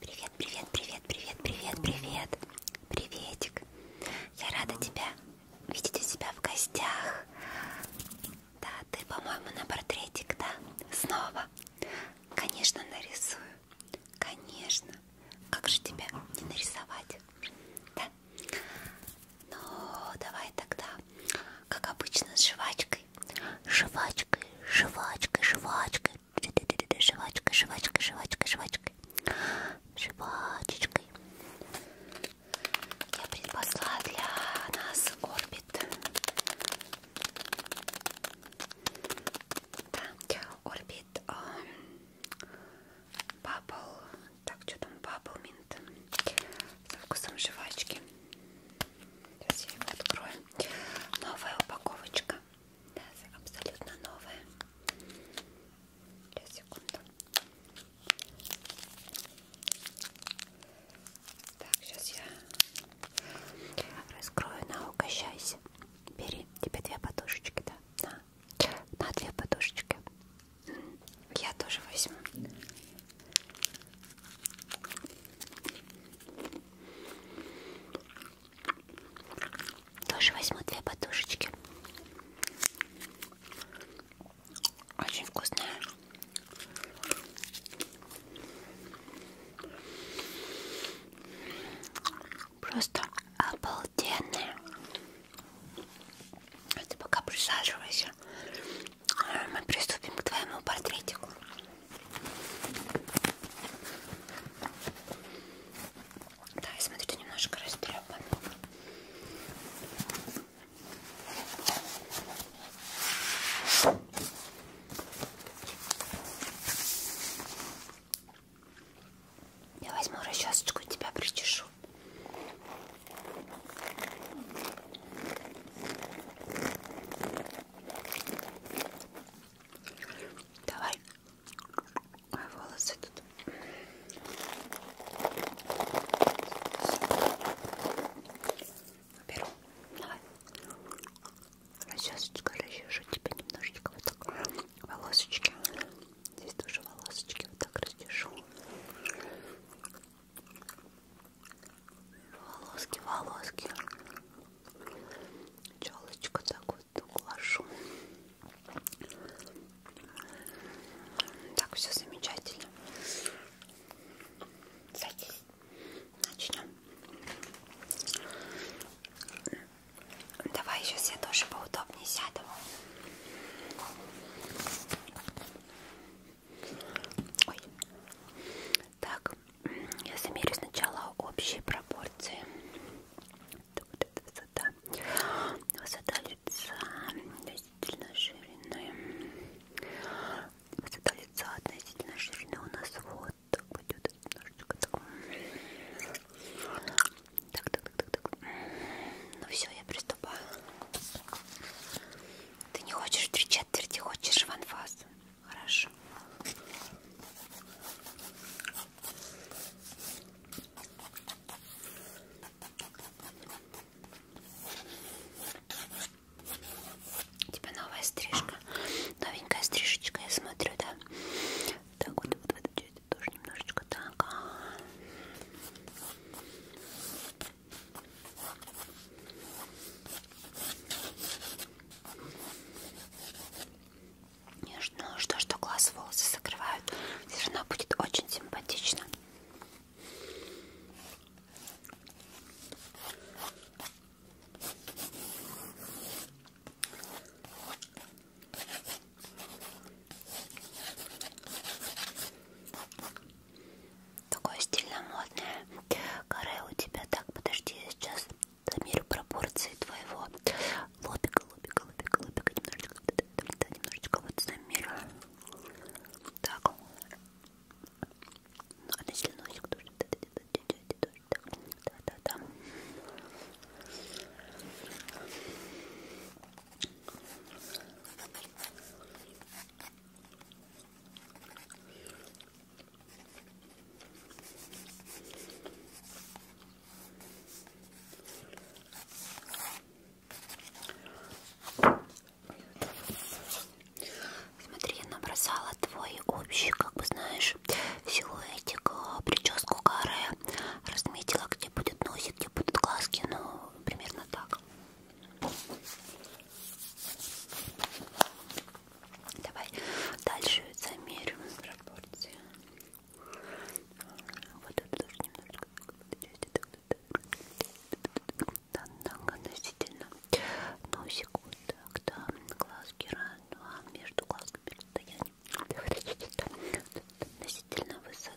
Привет, привет, привет, привет, привет, привет, приветик. Я рада тебя видеть у себя в гостях. Да, ты, по-моему, на портретик, да? Снова. Конечно, нарисую. Конечно. Как же тебя не нарисовать? Да. Ну, давай тогда, как обычно, с жвачкой. Жвачкой, жвачкой, жвачкой жвачкой. Жвачкой, жвачкой, жвачкой, жвачкой. Жвачечкой. Я предпосла для нас орбит. Да, орбит. Бабл. Эм, так, что там? Бабл минт. Со вкусом жвачки. Сейчас я его открою. Новая упаковочка. Да, абсолютно новая. Сейчас, секунду. Так, сейчас я раскрою на угощайся. Бери, тебе две подушечки, да? На, на две подушечки. Я тоже возьму. Тоже возьму две подушечки. Очень вкусная. Просто обалденная. А ты пока присаживайся. Мы приступим к твоему портретику. Да, я смотрю, ты немножко растрепан. Я возьму расчесочку и тебя причешу. Давай. Мои волосы тут. Беру. Давай. А сейчас расчешу тебе немножечко вот так волосочки. Здесь тоже волосочки вот так расчешу волоски, волоски. Челочку так вот углашу. Так, все замечательно. Садись. Начнем. Давай сейчас я тоже поудобнее сяду. Ой. Так, я замерю сначала общие пропорции. Так, вот эта высота. Высота лица относительно ширины. Высота лица относительно ширины у нас вот так идет. Немножечко так. Так, так, так, так, так. Ну все, я приступаю. Ты не хочешь три четверти, хочешь в анфас. Хорошо. У тебя новая стрижка. Новенькая стрижечка, я смотрю, да. Так вот, вот это тоже немножечко так. Нежно, что, что глаз волосы закрывают, все равно будет очень симпатично такое стильно модное. Каре у тебя так, подожди, я сейчас замерю пропорции твоего лобика, лобика, лобика, лобика, немножечко, да, немножечко вот замерю. Так, ну, относительно носик тоже, да, да, да, да, да, да, да, да, да. Смотри, я набросала твой общий, как бы знаешь, силуэтик, э, прическу каре, разметила, где будет носик, где будут глазки, ну, примерно так. Давай дальше замерим пропорции. Вот это тоже немножко да, много относительно. Носик вот так, да, глазки раз, два, между глазками расстояние. Относительно высоты.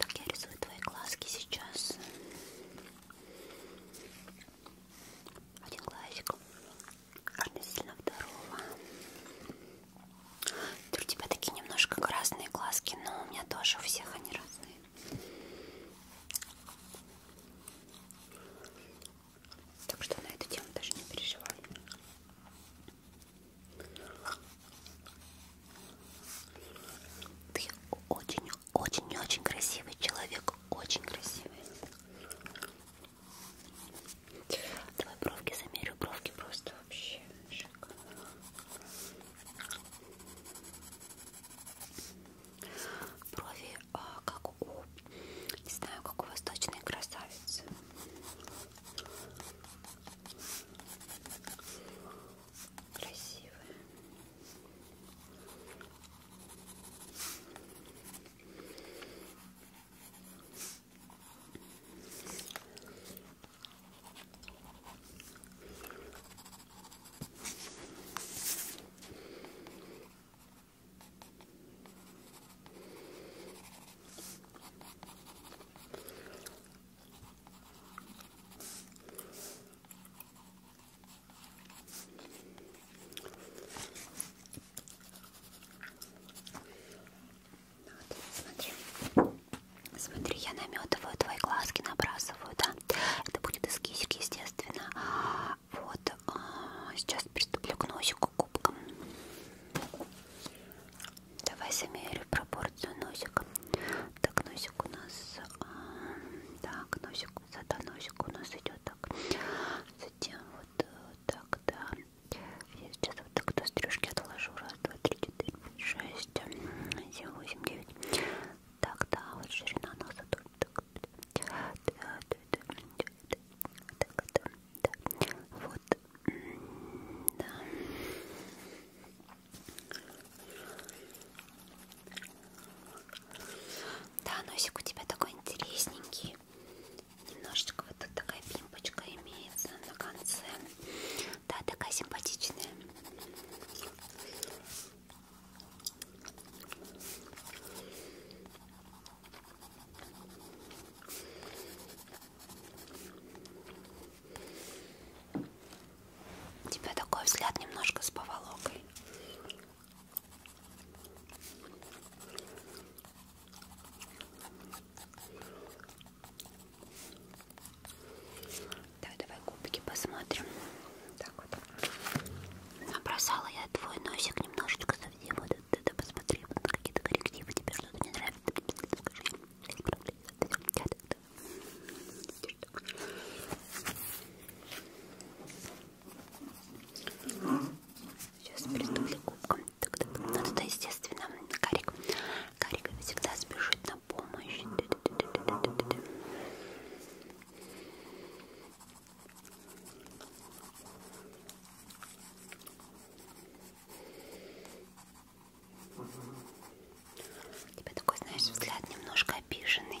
Так, я рисую твои глазки сейчас. Один глазик относительно второго. У тебя такие немножко красные глазки, но у меня тоже у всех они разные. Так что на эту тему даже не переживай. Ты очень-очень-очень красивый человек. Очень красивый. Давай бровки замерю. Бровки просто вообще шикарно. Брови а, как у, не знаю, как у восточной красавицы. Красивые. Вот, смотри, смотри, я наметываю твои глазки, набрасываю, да? Это будет эскизик, естественно. Вот. А, сейчас приступлю к носику кубком. Давай замерю пропорцию носика. Так, носик у нас... А, так, носик, высота носика у нас идет так. Затем вот э, так, да. Я сейчас вот так до стрижки отложу. Раз, два, три, четыре, пять, шесть, семь, восемь, девять, так, да, вот ширина носа тут. Так, да, да, да, да, так, да, да. Вот, да. Да, носик у тебя такой интересненький. Немножечко вот тут такая пимпочка имеется на конце. Да, такая симпатичная. У тебя такой взгляд немножко с поволокой. Давай, давай губки посмотрим. Так вот. Набросала я твой носик немножечко совсем. Вот это посмотри, вот какие-то коррективы тебе что-то не нравится. Скажи. Сейчас приступлю к губкам. Тогда, ну, это естественно. Карик. Карик всегда спешит на помощь. Ты у тебя такой, знаешь, взгляд немножко обиженный.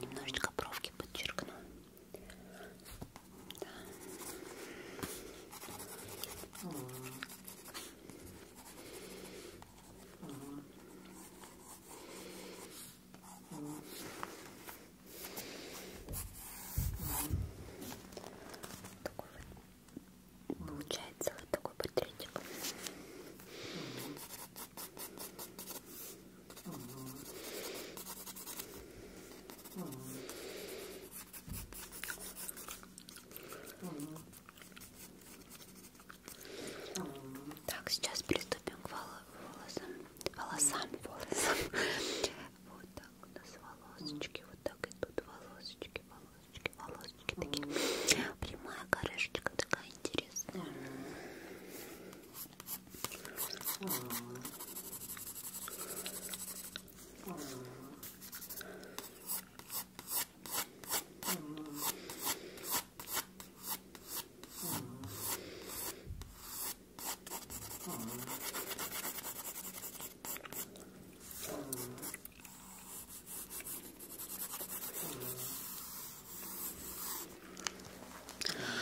Немножечко бровки подчеркну. Да. Такой вот получается вот такой портретик. Так, сейчас приступим к волосам. Волосам, волосам. Вот так у нас волосочки, вот так идут волосочки, волосочки, волосочки такие. Прямая корешечка такая интересная.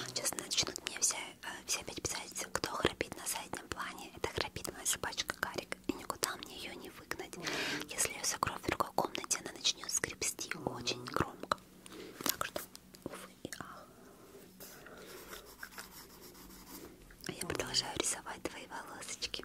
Сейчас начнут мне все, э, все опять писать, кто храпит на заднем плане. Это храпит моя собачка Карик. И никуда мне ее не выгнать. Если я закрою в другой комнате, она начнет скрипсти очень громко. Так что, увы и ах. А я продолжаю рисовать твои волосочки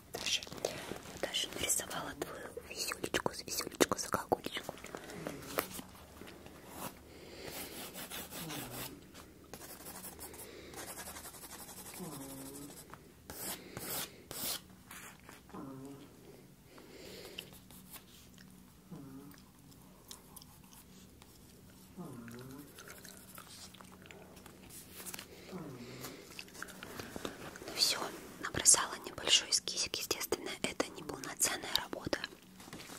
Даже, даже нарисовала твою веселечку, веселечку, заколкулечку. Ну все, набросала небольшой эскизик. Естественно, это не полноценная работа.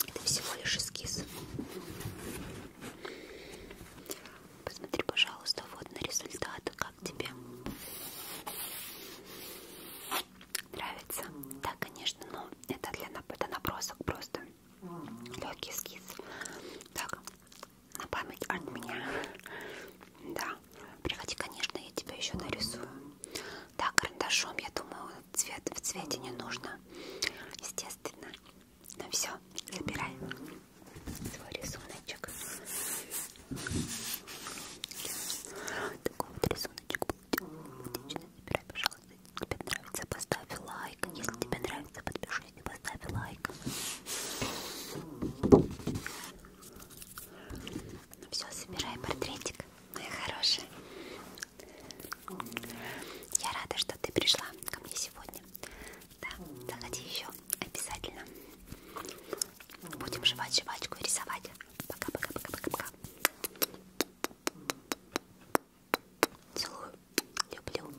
Это всего лишь эскиз. Посмотри, пожалуйста, вот на результат. Как тебе? Нравится? Да, конечно, но это для это набросок просто. Легкий эскиз. Так, на память от меня. Да, приходи, конечно, я тебя еще нарисую. Да, карандашом, я думаю, цвет в цвете не нужно, естественно. Ну все, забирай свой рисуночек. Такой вот рисуночек получил. Забирай, пожалуйста. Если тебе нравится, поставь лайк. Если тебе нравится, подпишись и поставь лайк. Ну все, собирай портретик, моя хорошая. Я рада, что ты пришла ко мне сегодня. Да, заходи еще обязательно. Будем жевать жвачку и рисовать. Пока-пока-пока-пока-пока. Целую. Люблю.